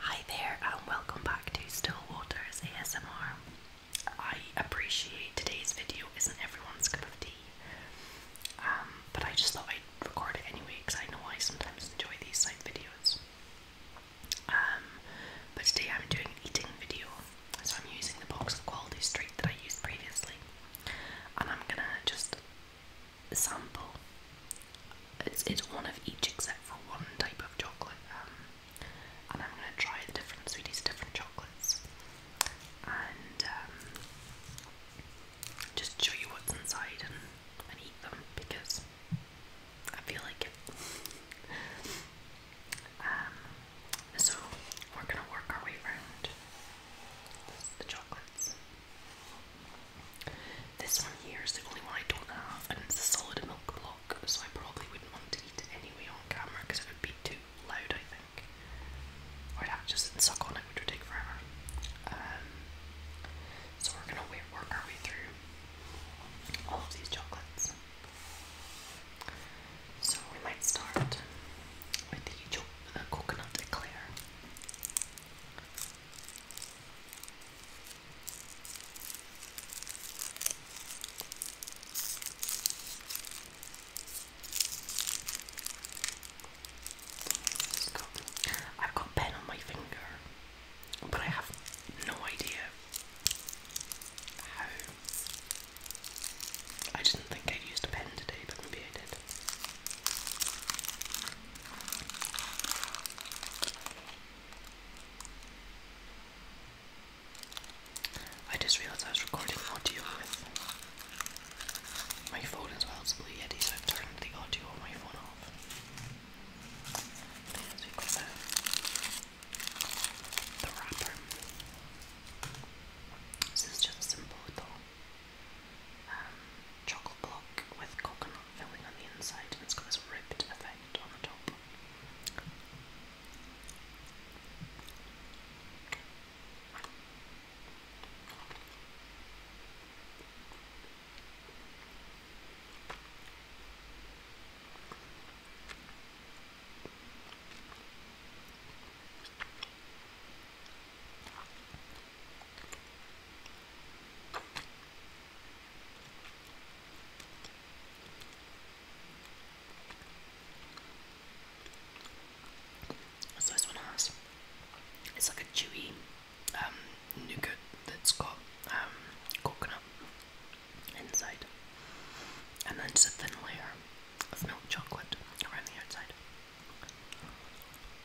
Hi there, and um, welcome back to Still Waters ASMR. I appreciate today's video isn't everyone's cup of tea, um, but I just thought I'd record it anyway because I know I sometimes enjoy these type videos. Um, but today I'm doing an eating video, so I'm using the box of Quality Street that I used previously, and I'm gonna just sample. It's, it's one of each except for one type of chocolate, um, and I'm going to try the different sweeties, different chocolates, and um, just show you what's inside and, and eat them because I feel like it. Um, so we're going to work our way around the chocolates. This one here is the only one I don't have, and it's a solid milk block, so I probably wouldn't want to eat it anyway on camera because it would be too loud, I think. Or i suck on it, which would take forever. Um, so we're gonna work our way through all of these chocolates. So we might start with the, the uh, coconut eclair. I've got pen on my finger, but I have no idea how. I didn't think I used a pen today, but maybe I did. I just realized I was recording audio with my phone as well so I've turned the audio on my phone off. So the, wrapper. This is just simple though chocolate block with coconut filling on the inside, and it's got this ripped effect on the top. So this one has it's like a chewy um, nougat that's got um coconut inside and then just a thin layer of milk chocolate around the outside.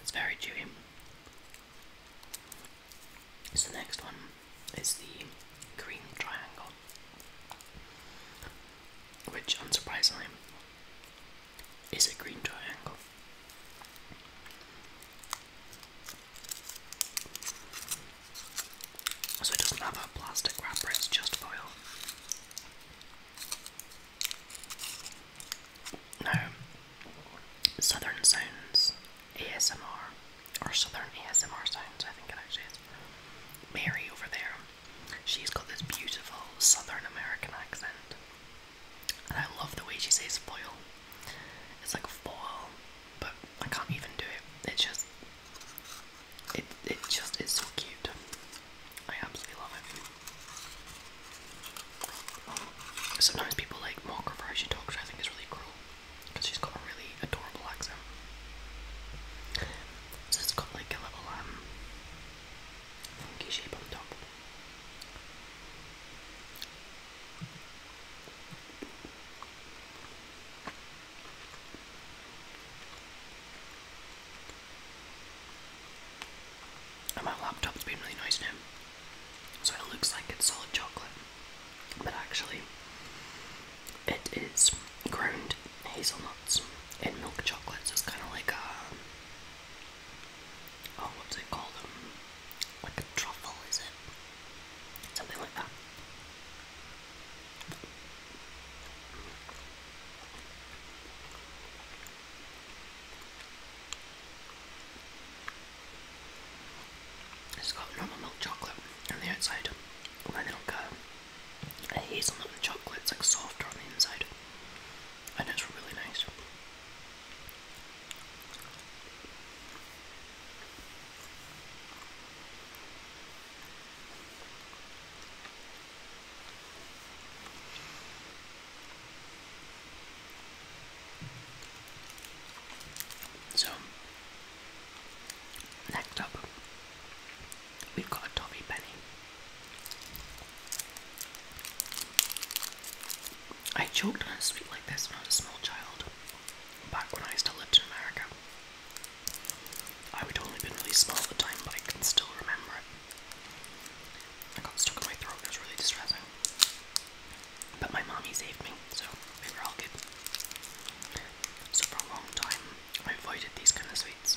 It's very chewy. So the next one is the green triangle, which unsurprisingly is a green triangle. So it doesn't have a plastic wrap; it's just foil. Now, Southern Sounds ASMR, or Southern ASMR Sounds, I think it actually is. Mary over there, she's got this beautiful Southern American accent. And I love the way she says foil. It's like foil, but I can't even do it. It's just it it just is so cute. I absolutely love it. Sometimes people like mock her for how she talks, I think is really cruel because she's got a really adorable accent. So it's got like a little um funky shape on top. And my laptop's been really nice now. So it looks like it's solid chocolate. But actually, it is ground hazelnuts in milk chocolate, so it's kind of like a. Um, oh, what's it called? Um, like a truffle, is it? Something like that. It's got normal milk chocolate on the outside, and then like a, a hazelnut and chocolate. It's like softer on the inside, and it's really nice. So, next up, we've got a Tommy Penny. I choked on a sweet like this when I was a small child. Back when I still lived in America. I would only been really small at the time, but I can still remember it. I got stuck in my throat and it was really distressing. But my mommy saved me, so i were all good. So for a long time, I avoided these kind of sweets.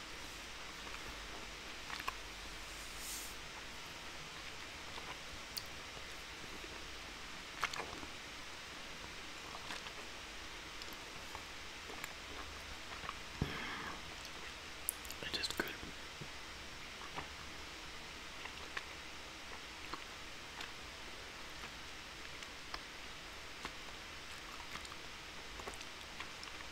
It is good.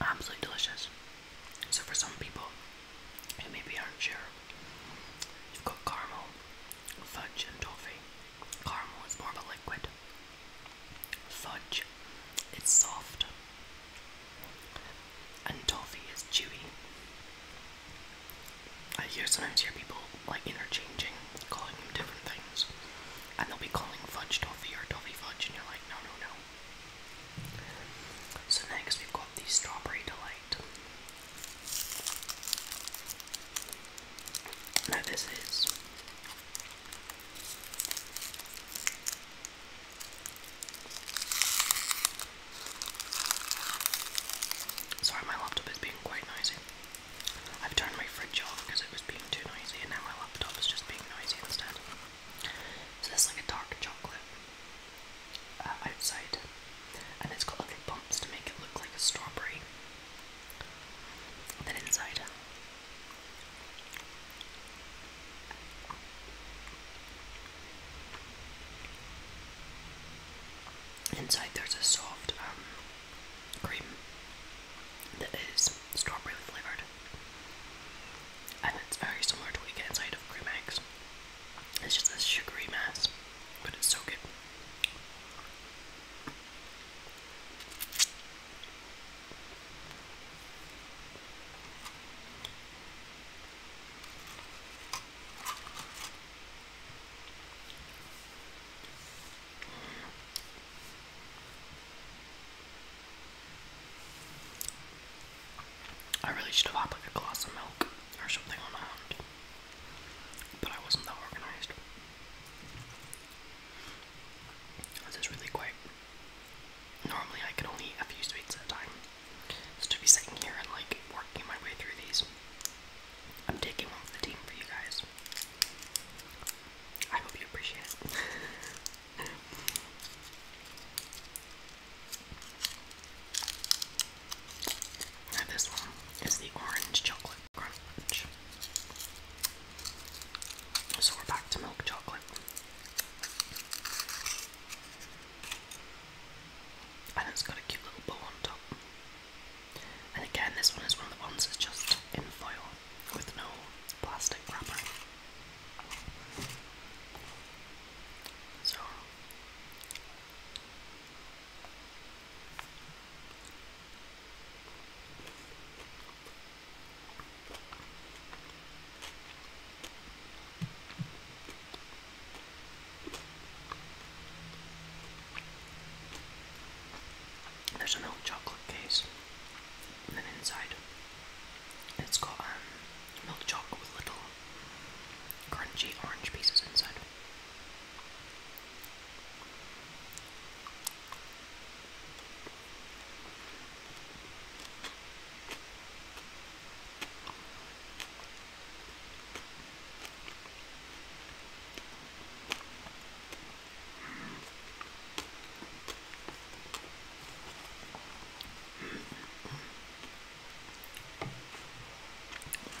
Absolutely delicious. So, for some people who maybe are you've got caramel, fudge, and toffee. Caramel is more of a liquid, fudge it's soft, and toffee is chewy. I hear sometimes hear people like interchanging, calling them different things, and they'll be calling fudge toffee or toffee fudge, and you're like, no, no, no. So next we've got the strawberry delight. Now this is Sorry, my laptop is being quite noisy. I've turned my fridge off because it was being too noisy, and now my laptop is just being noisy instead. this is like a dark chocolate uh, outside, and it's got little bumps to make it look like a strawberry. then inside. Inside there's a soft um, cream that is strawberry flavoured. And it's very similar to what you get inside of cream eggs. It's just a sugary mess, but it's so good. I really should have had like a glass of milk or something on hand, but I wasn't that organised. This is really quite. Normally, I can only eat a few sweets at a time, so to be sitting here and like working my way through these I'm taking one for the team for you guys. I hope you appreciate this one is the orange chocolate crunch. So we're back to milk chocolate. And it's got a cute little bow on top. And again, this one is one of the ones that's just in foil with no plastic wrapper. So. There's a milk chocolate case, and then inside it's got um, milk chocolate with little crunchy orange pieces inside.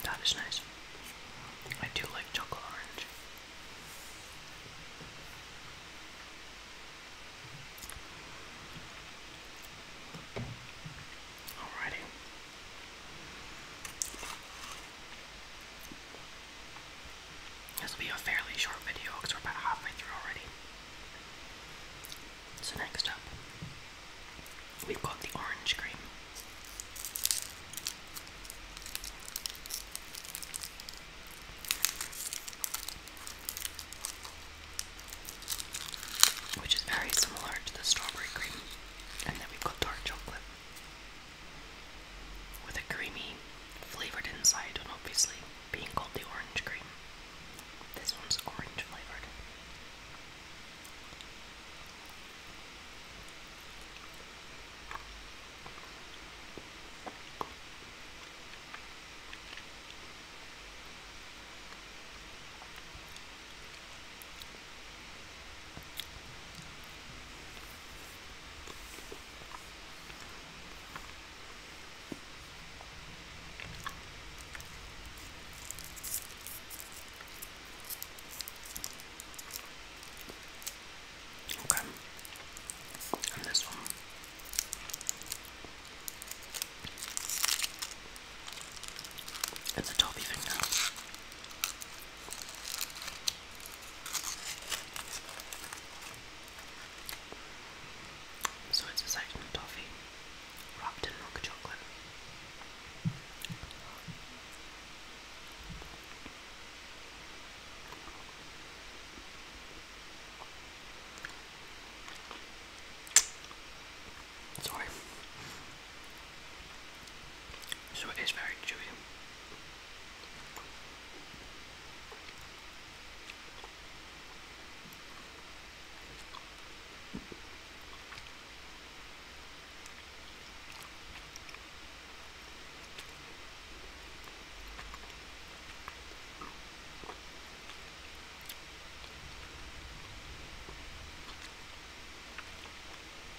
That is nice. I do like chocolate orange. Alrighty. This will be a fairly short video because we're about halfway through already. So, next up, we've got the orange cream. Which is very similar to the strawberry cream, and then we've got dark chocolate with a creamy flavored inside and obviously being called the orange cream. This one's orange flavored. Okay. And this one. It's a toffee finger. So it's a section toffee wrapped in mocha chocolate. Sorry, so it is very chewy.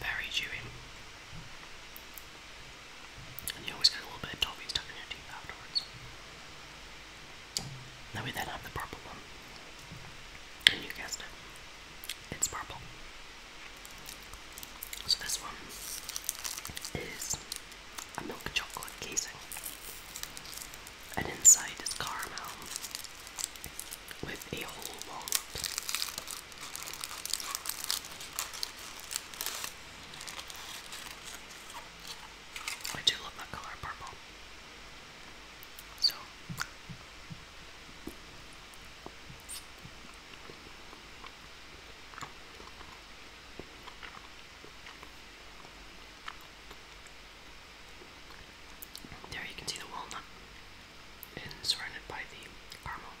Very chewy. And you always get a little bit of toffee stuck in your teeth afterwards. Now we then have the purple one. And you guessed it. It's purple. So this one is a milk chocolate casing. And inside is caramel with a whole walnut. I do love that color purple. So there you can see the walnut and surrounded by the caramel.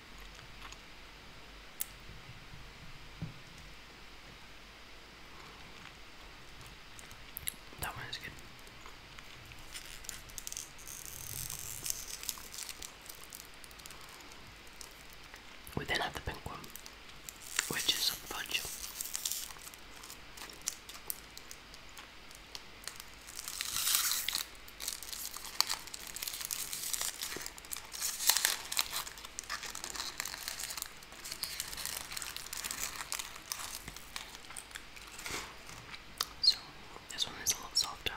That one good. We then have the pink one, which is a fudge. So this one is a lot softer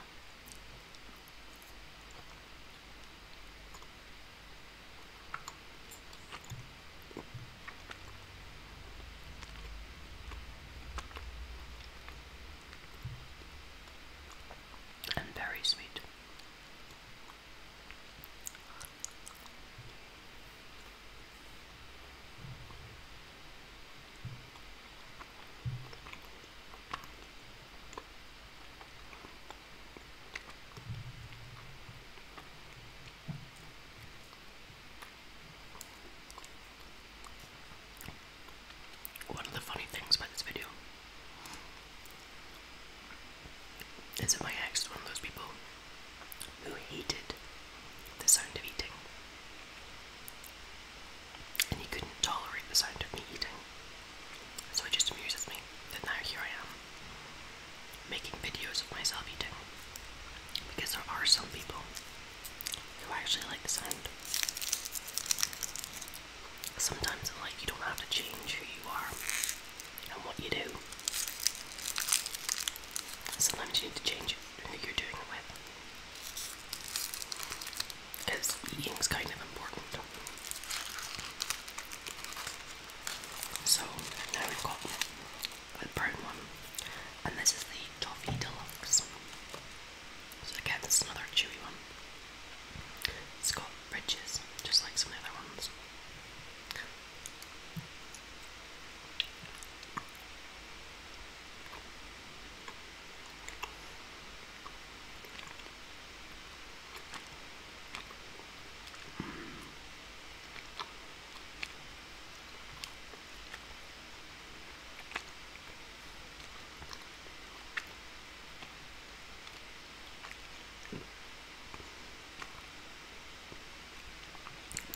and very sweet. One of the funny things about this video is that my ex is one of those people who hated the sound of eating. And he couldn't tolerate the sound of me eating. So it just amuses me that now here I am making videos of myself eating. Because there are some people who actually like the sound sometimes in life, you don't have to change who you are and what you do. Sometimes you need to change who you're doing it with. Because eating's kind of important. So now we've got the brown one, and this is the Toffee Deluxe. So again, this is another chewy one. It's got ridges, just like some of the other ones.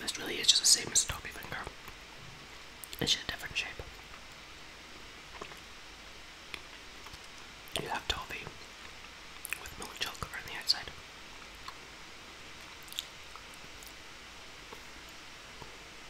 This really is just the same as a toppy finger. It's just a different shape. You have toffee with milk chocolate on the outside.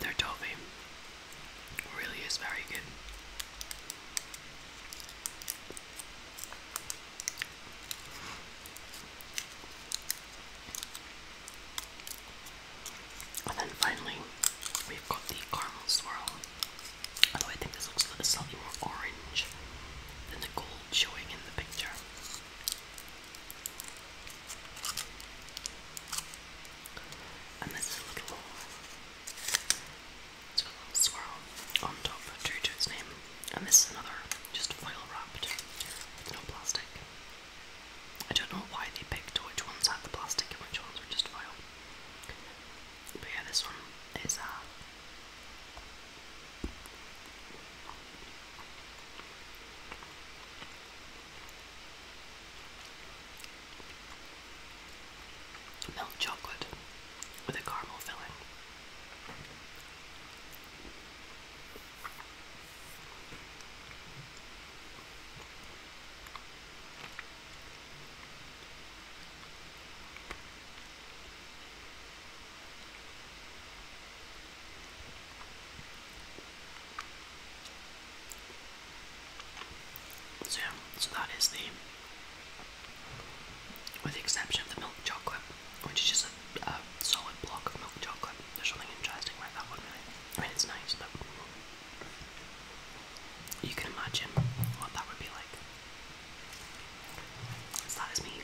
They're toffee really is very good. And then finally, we've got the caramel swirl. Although I think this looks slightly more orange than the gold showing in the picture. And this is a little, it's got a little swirl on top due to its name. And this is another just foil wrapped with no plastic. I don't know why they picked which ones had the plastic and which ones were just foil. But yeah, this one is uh milk chocolate with a caramel filling. So, so that is the, with the exception of the milk chocolate, which is just a, solid block of milk chocolate. There's something interesting about that one, really. I mean, it's nice, but you can imagine what that would be like. So that is me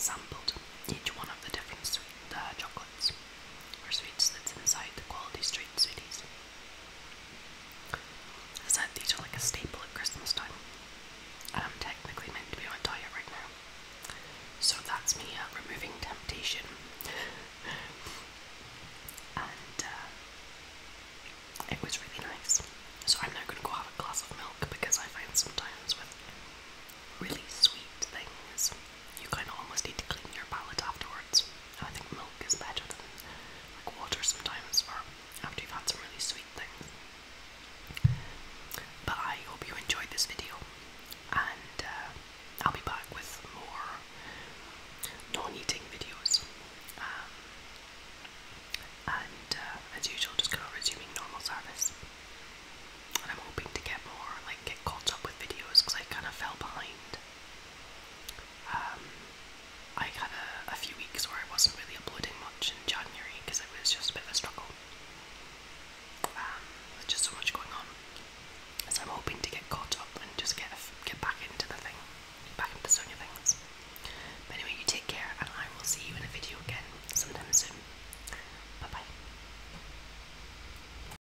sampled each one of the different uh, chocolates. Or sweets that's inside the Quality Street sweets. I said these are like a staple at Christmas time. And I'm technically meant to be on diet right now. So that's me uh, removing temptation. and uh, it was really nice. So I'm now going to go have a glass of milk because I find sometimes with really sweet things you kind of almost need to clean your palate afterwards. I think milk is better than like water sometimes, or after you've had some really sweet things. But I hope you enjoyed this video, and uh, I'll be back with more non-eating videos. Um, and uh, as usual, just kind of resuming normal service. And I'm hoping to get more, like, get caught up with videos because I kind of fell behind um, I had a, few weeks where I wasn't really uploading much in January because it was just a bit of a struggle. Um, there's just so much going on. So I'm hoping to get caught up and just get get back into the thing, back into the swing of things. But anyway, you take care, and I will see you in a video again sometime soon. Bye bye.